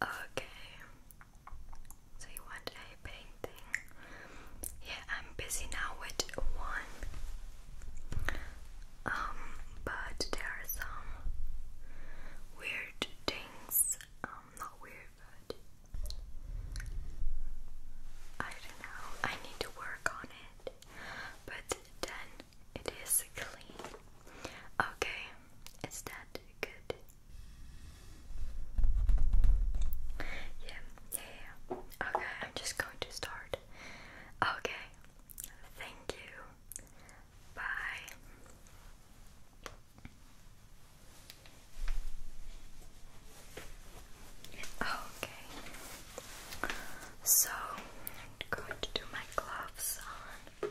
Okay. So you want a painting? Yeah, I'm busy now with one. Um, but there are some weird things. Um, not weird, but I don't know. I need to work on it. But then it is clean. Okay, is that good? Yeah, yeah, yeah. Okay, I'm just going to start. Okay, thank you. Bye. Okay, so I'm going to do my gloves on.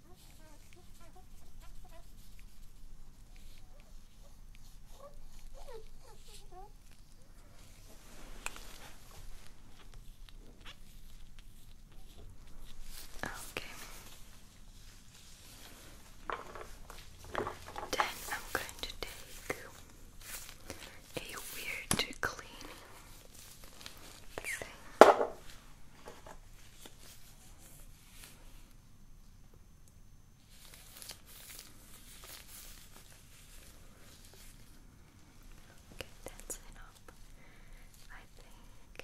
Okay. Then I'm going to take a weird clean thing. Okay, that's enough. I think you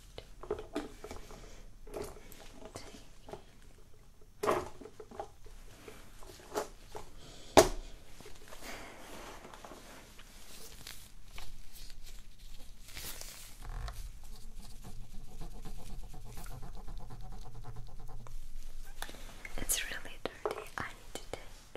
It's really dirty. I need to take a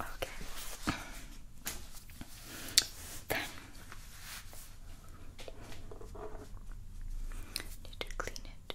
Okay. Then need to clean it.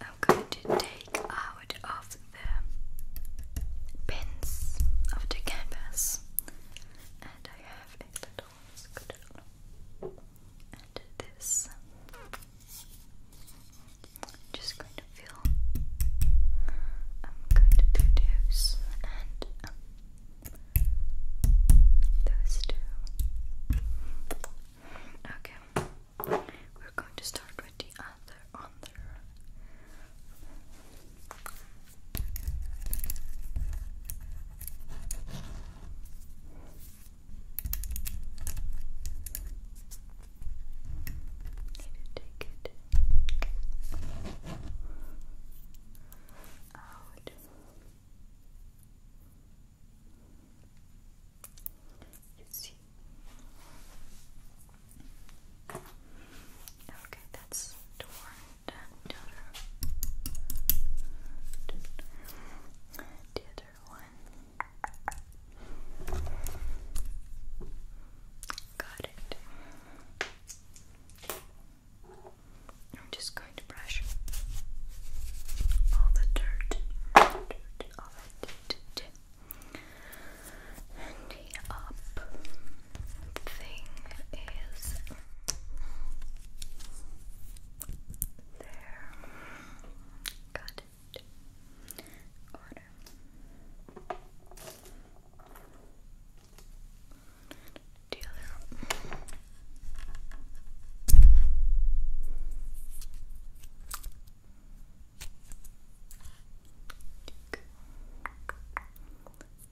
I'm going to take out of the pins of the canvas and I have a little and this just going to fill I'm going to do and um, those two okay we're going to start with the other under. take it out. You see Okay, that's door and the other, one. Got it. I'm just going to brush all the dirt. And the up thing is there. Got it. Order. The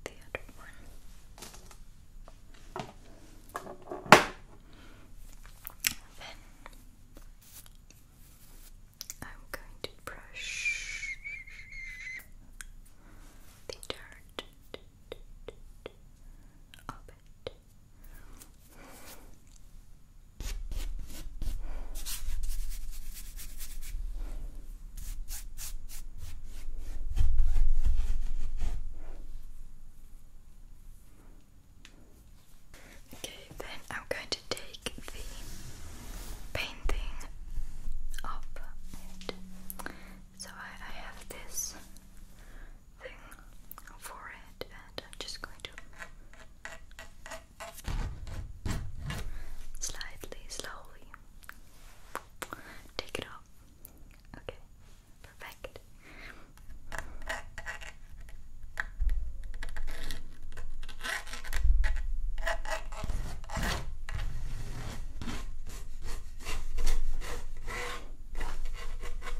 the other one. Then I'm going to brush the dirt up it. Okay, then I'm going to take the painting up So I have this thing for it, and I'm just going to Slightly, slowly. Take it off. Okay, perfect.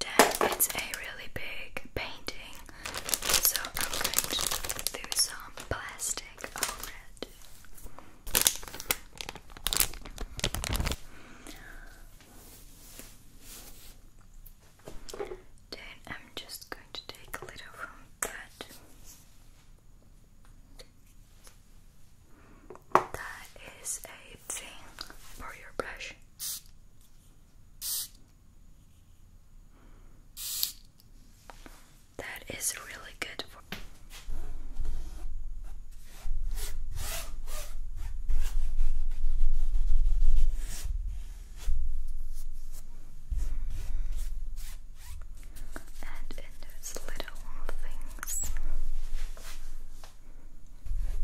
Then it's a really big painting, so I'm going to do some plastic on it. Then I'm just going to take a little from that. That is a thing for your brush. That is really good for and in those little things. Perfect. Perfect.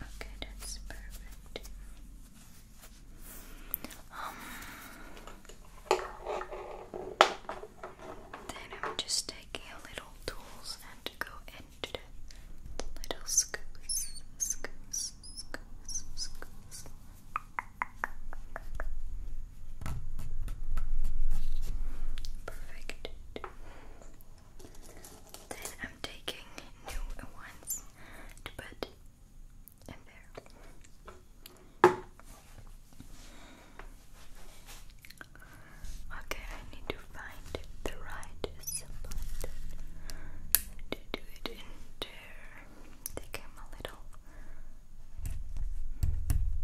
Okay, that's perfect. Um, then I'm just taking a little tools and go into the little scoops, scoops, scoops, scoops. Perfect. Then I'm taking new ones to put in there. Okay, I need to find the right spot to do it in there. They came a little.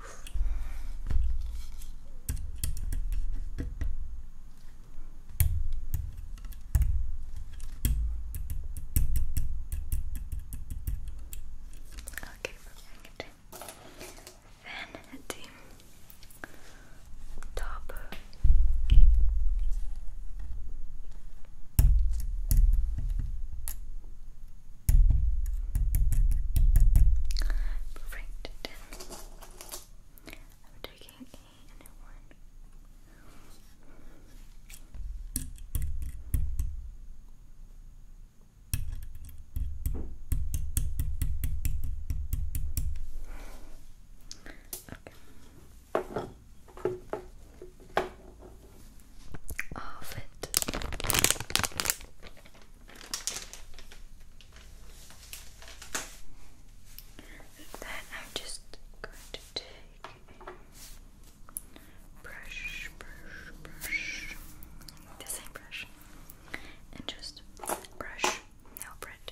you. Okay, perfect. Then top. Perfect. I'm taking a new one. Okay. Off it. Then I'm just going to take brush, brush, brush, the same brush, and just brush nail print.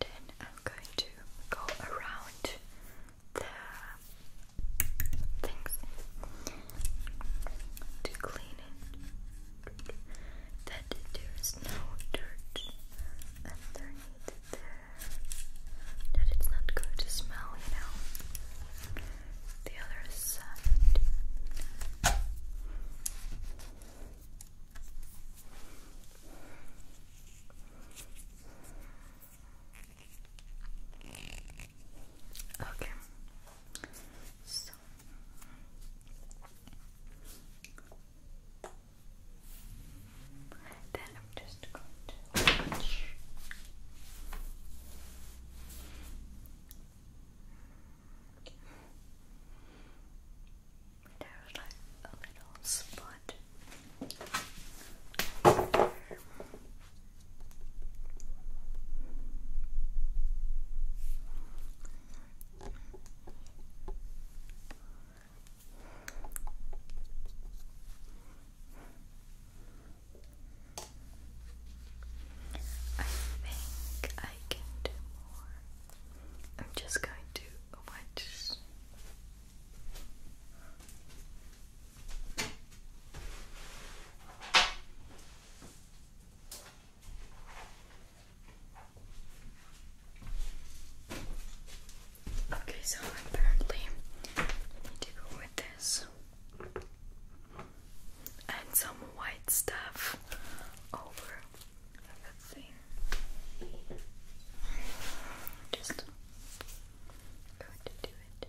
Then I'm going to go around the things to clean it that there is no dirt underneath there that it's not going to smell, you know. The other side. Okay, so then I'm just going to there was like a little spot I think I can do more. I'm just going to watch. Okay, so apparently I need to with this and some white stuff over everything. Just going to do it.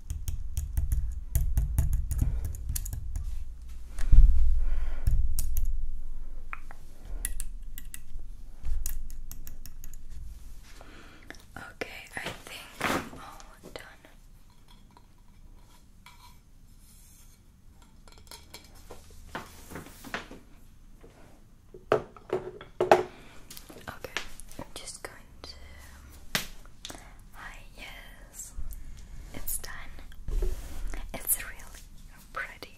Okay, I think I'm all done. Okay, I'm just going to Hi, yes, it's done. It's really pretty.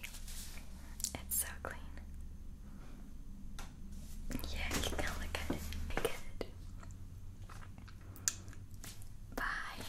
It's so clean. Yeah, you can look at it. Bye.